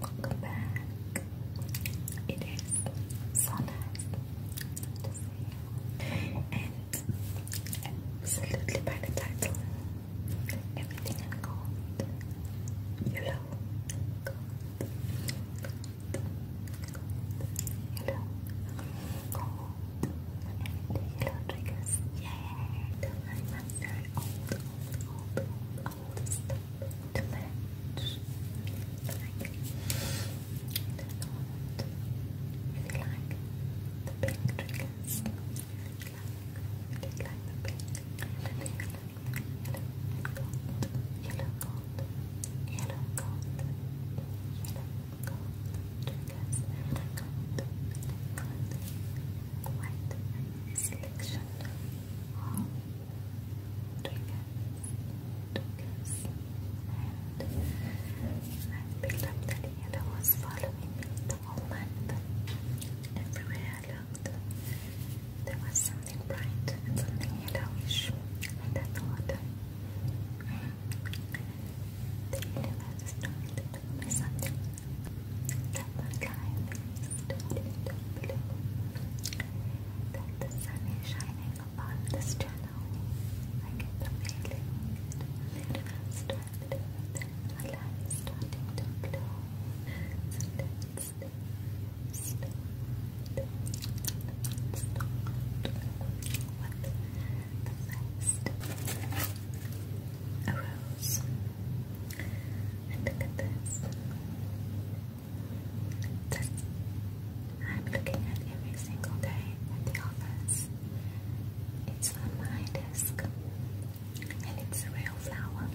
Welcome back. It is so you. And absolutely by the title, everything in gold. Yellow, gold, yellow, gold, and yellow triggers. Yeah, the line was very old, all do you like the pink triggers. If you like, the pink, and you like yellow and yellow gold, yellow gold, yellow gold triggers, yellow gold, gold, white selection of triggers, triggers and I picked up that Yada was following me the whole month. Everywhere I looked, there was something bright something yellowish, and I thought, the universe is trying to tell that the time is blue, that the sun is shining upon this channel, like the failing, started with the light starting to glow, so let's stop, stop, stop, with the first a rose. And look at this. This I'm looking at every single day at the office. It's on my desk. And it's a real flower.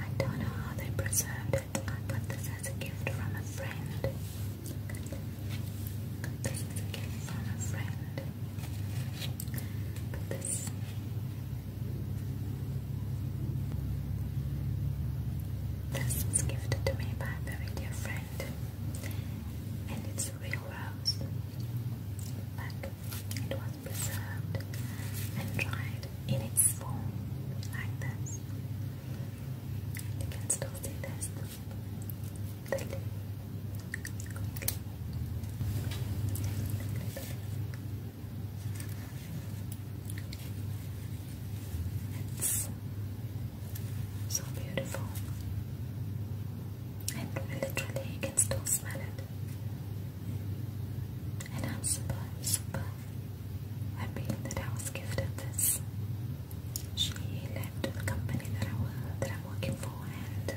I don't know how they preserved it. I got this as a gift from a friend. as a gift from a friend. But this this was gifted to me by a very dear friend, and it's real rose, but it was preserved and dried in its form like this. You can still see this. The leaf. It's so beautiful. And literally you can still smell it. And I'm super, super happy that I was gifted this. She left the company that I was, am working for and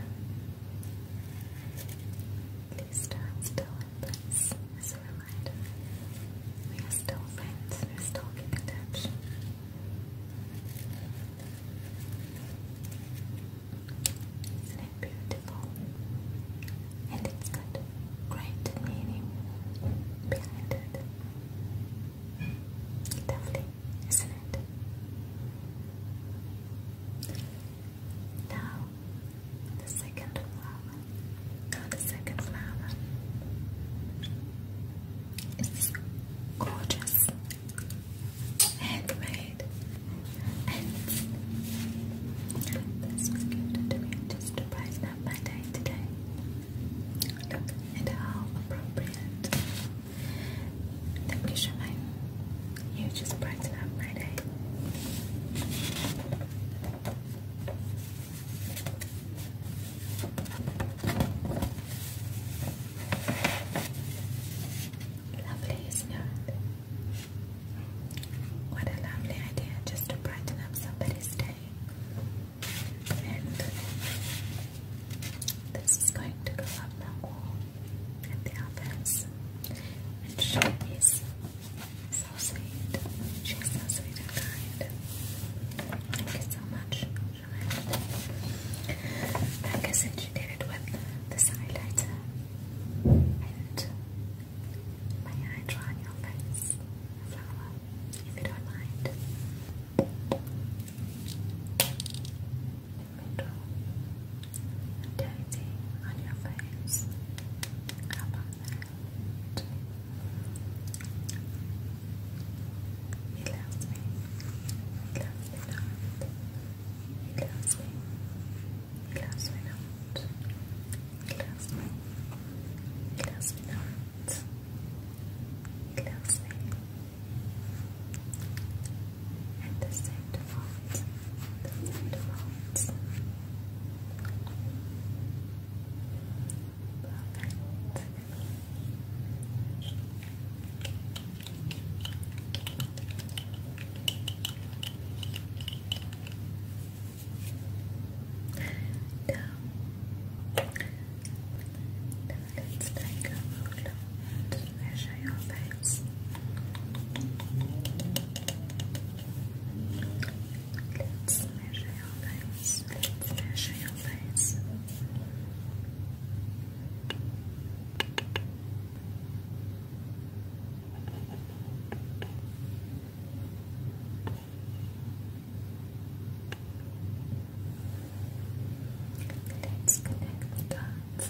Please stand still and as a reminder. We are still friends, we are still keeping touch. Isn't it beautiful? And it's got great meaning behind it. Lovely, isn't it? Now, the second flower. the second flower is gorgeous, handmade, and this was gifted to me just to brighten up my day today. Look how appropriate. Thank you, Shemai. You just brighten up my day. Lovely, isn't it? What a lovely idea just to brighten up somebody's day. And this is going to go up my wall at the office. And she is so sweet. She's so sweet and kind. Thank you so much, Joanne. I said, she did with this highlighter and my eye draw on your face, a flower, if you don't mind dirty on your face. How about that? He loves me. He loves me not. He loves me. He loves me not. He loves me. He loves me not. He loves me. He loves me. He and the sand font, the sand font. Perfect. Now, now let's take a measure your face. Let's measure your Let's connect the dots.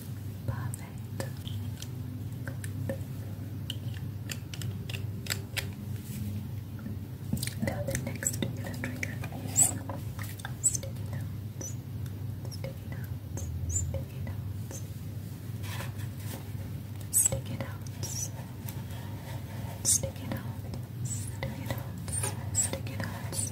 Perfect. Good. Now the next trigger, trigger is sticky notes. Sticky notes. Sticky notes. Sticky notes. Sticky notes. Sticky notes. Sticky notes.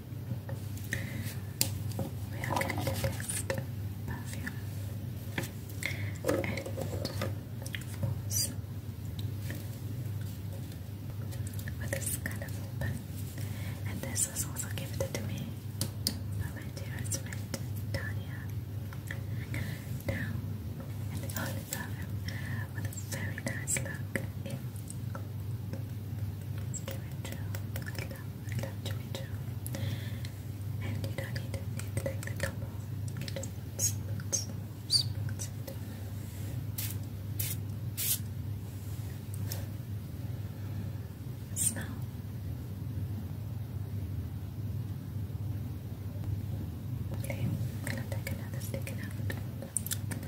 We are going to test perfume and floss with kind of open. And this was also gifted to me by my dearest friend Tanya. Now, and all the time, that with a very nice look in Jimmy Joe. I love, I love Jimmy Joe. And you don't need need to take the top off. smooth, smooth, smooth Smell. Okay, gonna take another stick it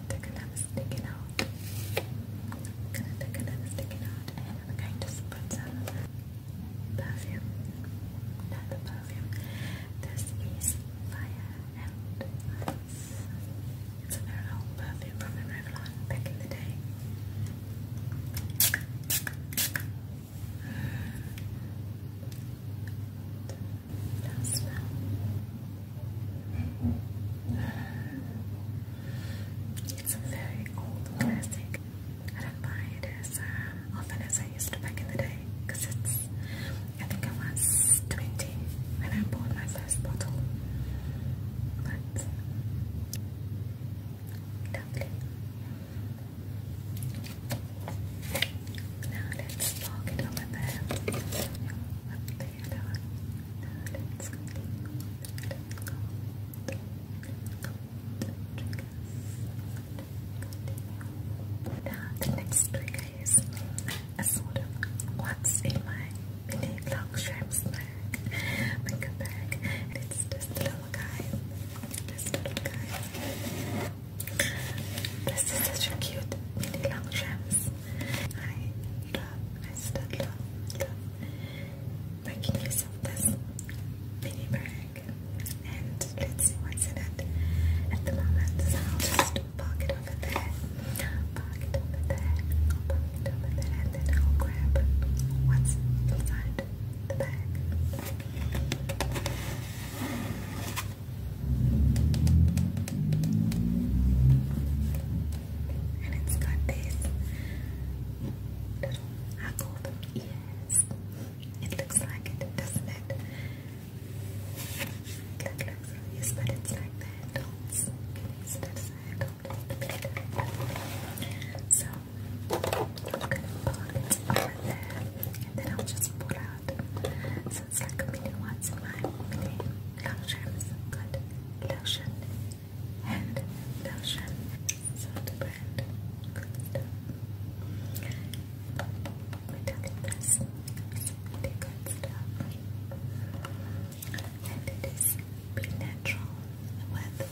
take another sticking out. I'm gonna take another sticking out and I'm going to put some perfume. Not perfume. This is Fire and Ice. It's a old perfume from Revlon back in the day. That It's a very old classic. I don't buy it as um, often used back in the day it's, I think I was 20 when I bought my first bottle. But, lovely. Now let's talk it over there. Now the next trigger is a sort of what's in my mini vlog shrimps bag, makeup bag, and it's this little guy, this little guy. This is such a cute mini long shrimps. I love, I still love, love making use this mini bag. And let's see what's in it at the moment. just park over there, park over there, park over there, and then I'll grab what's inside the bag. And it's got this little, I call ears. It looks like it, doesn't it? It looks like but it's like the So I'm gonna pull it over there, and then I'll just pull out so it's like a million watts in my mini long-terms good lotion and lotion. So the brand good stuff. Metallic this. It's really good stuff. And it is be natural with the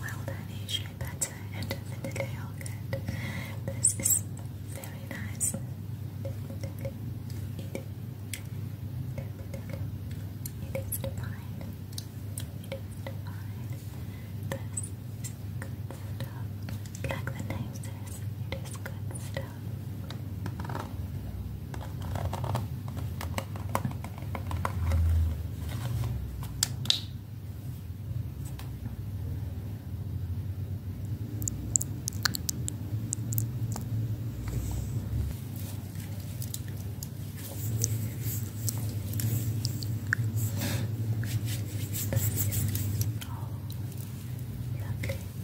wild honey shea butter and vanilla yogurt. This is very very nice. it is divine. It is divine. This is good stuff. Like the name says, it is good stuff lovely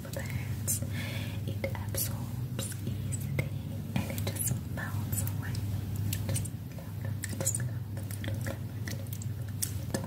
plants. It absorbs easily and it just melts away. Just love, just love, just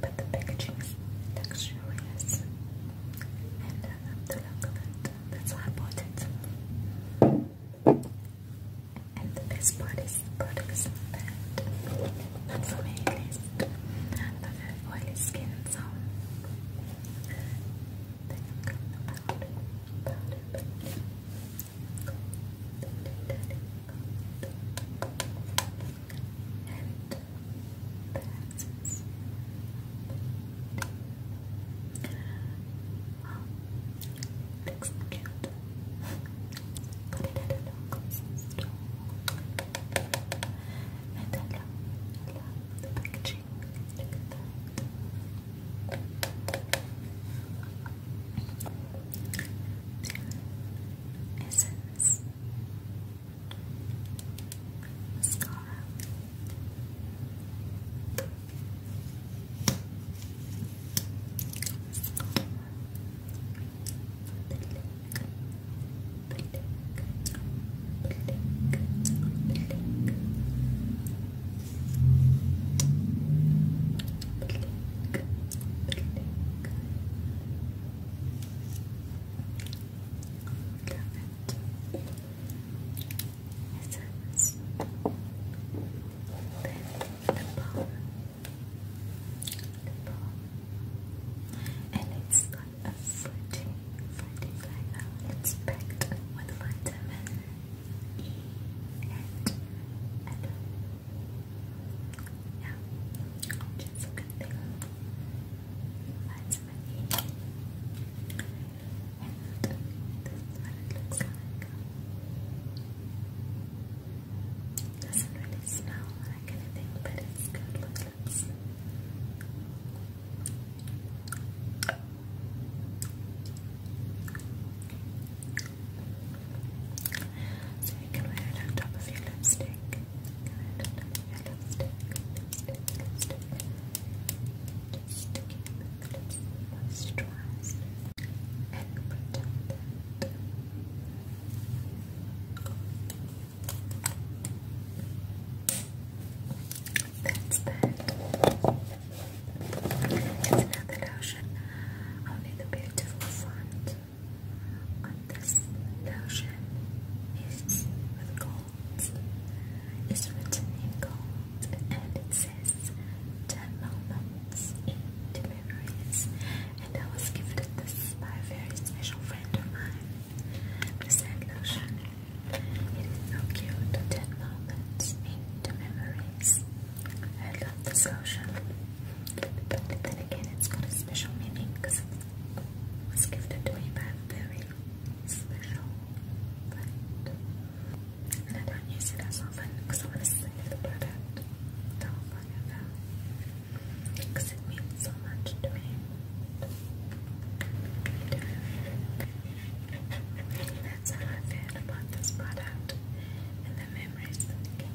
but the packaging is luxurious and the look of it. That's And the best part is the product is not bad. Not for oily skin, so the powder, powder, powder. Gold, gold, gold, gold and passes Wow, looks cute Got it at a local store And I love, love the packaging Essence Mascara Love it. Essence. Then the balm. The And it's like a floating, floating like that. packed with vitamin E and yeah, that's a good thing. That's my And this what it looks like. doesn't really smell like anything, but it's good with so you can wear it on top of your lipstick. You can wear it on top of your lipstick. Lipstick, lipstick. That's that. It's another lotion. Only the beautiful font. But this notion is with gold. It's written in gold and it says ten moments into memories. And I was gifted this by a very special friend of mine. This same notion. It is so cute. Ten moments into memories. I love this notion. But then again, it's got a special meaning because it was gifted to me by a very special friend. And I don't use it as often because I want to save the product That's how I feel about this product and the memories that came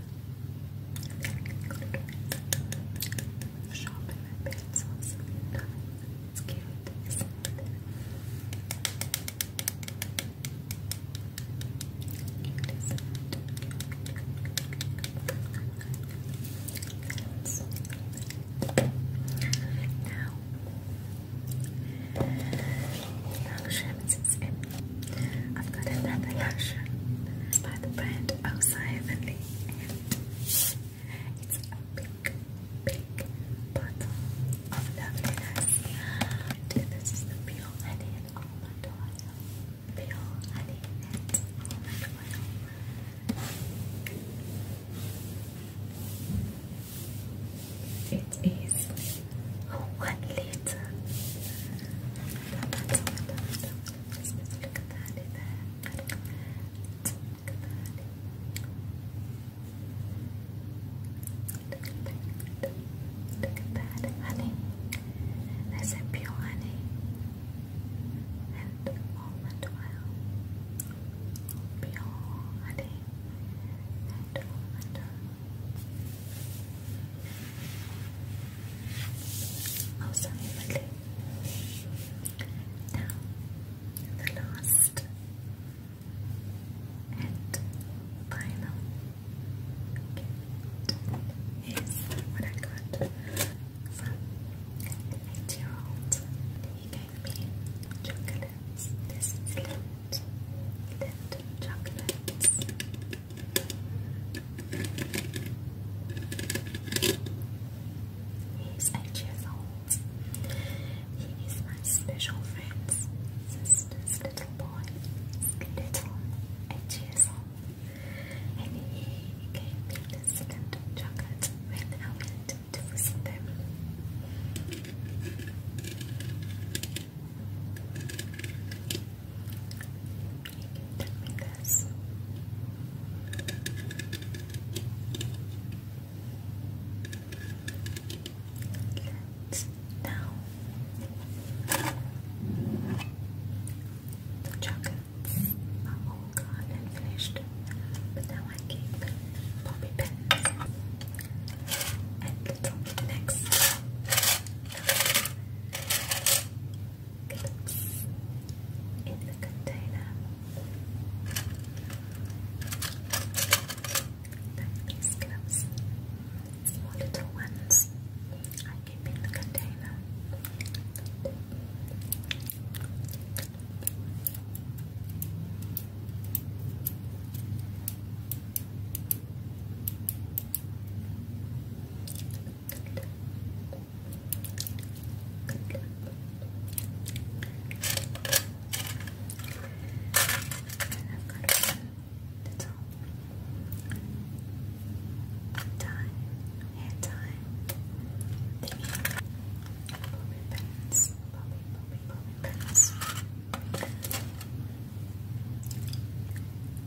Shop in my pencils. It's cute, isn't it? Cute, isn't it? I've got another lotion by the brand O'Sullivan and it's a big, big bottle of loveliness. this is the pure honey almond oil. Pure honey almond oil. It is a honey. That's a pure honey and almond oil. Pure honey and almond oil. Also, oh, really. last and final gift is what I got from an 8 old He gave me chocolates. This is lint, lint He's eight years old. He is my special friend's sister's little boy. Little, eight years old. And he gave me the second chocolate when I went to visit them me this. now the chocolates are gone and finished, but now I keep poppy pins and little necks. Clips in the container like these clips, small little ones I keep in the container I've got to run the top. Time, hair time, thingy, bobby pins, bobby, bobby, bobby pins.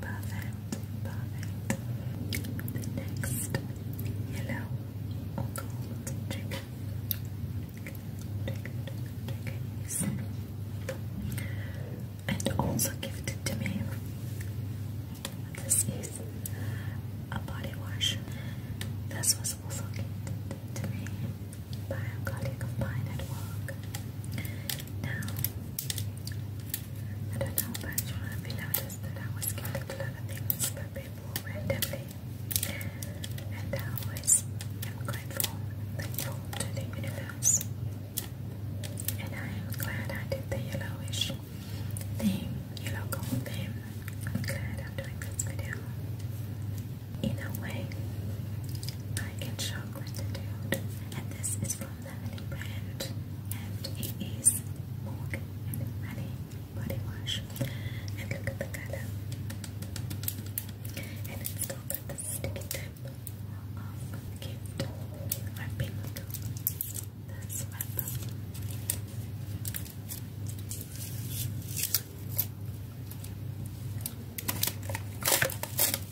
Perfect, perfect. The next yellow gold chicken, chicken, chicken and also gifted to me. This is a body wash. This was also gifted to me by a colleague of mine at work. Now, I don't know about you, if noticed that I was getting a lot of things people randomly. And I always am grateful, thankful to the universe. And I am glad I did the yellowish theme, yellow gold theme. I'm glad I'm doing this video. In a way, I can show gratitude. And this is from family brand and it is Morgan and Honey Body Wash and look at the color and it's the sticky tip of gift wrapping this wrapper and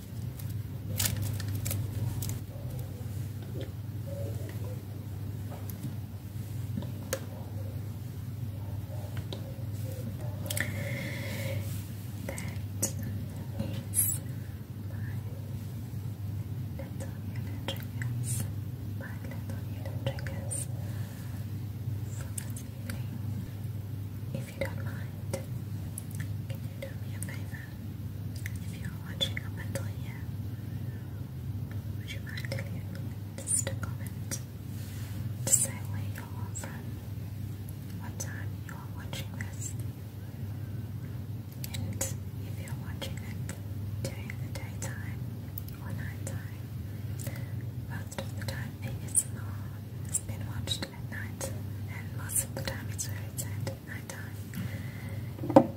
little triggers, my little hidden triggers for this evening. If you don't mind, can you do me a favor? If you're watching up until here, would you mind leaving just a comment to say where you are from, what time you are watching this, and if you're watching it during the daytime or nighttime, most of the time ASMR has been watched at night, and most of the time it's very sad night time and what we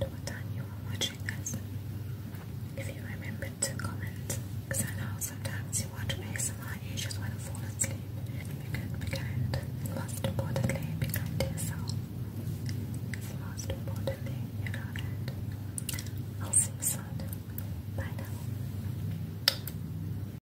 at what time you are watching us. If you remember to comment, because I know sometimes you watch ASMR and you just want to fall asleep. You can be most importantly, be yourself. It's most importantly, you know I'll see you soon. Bye now.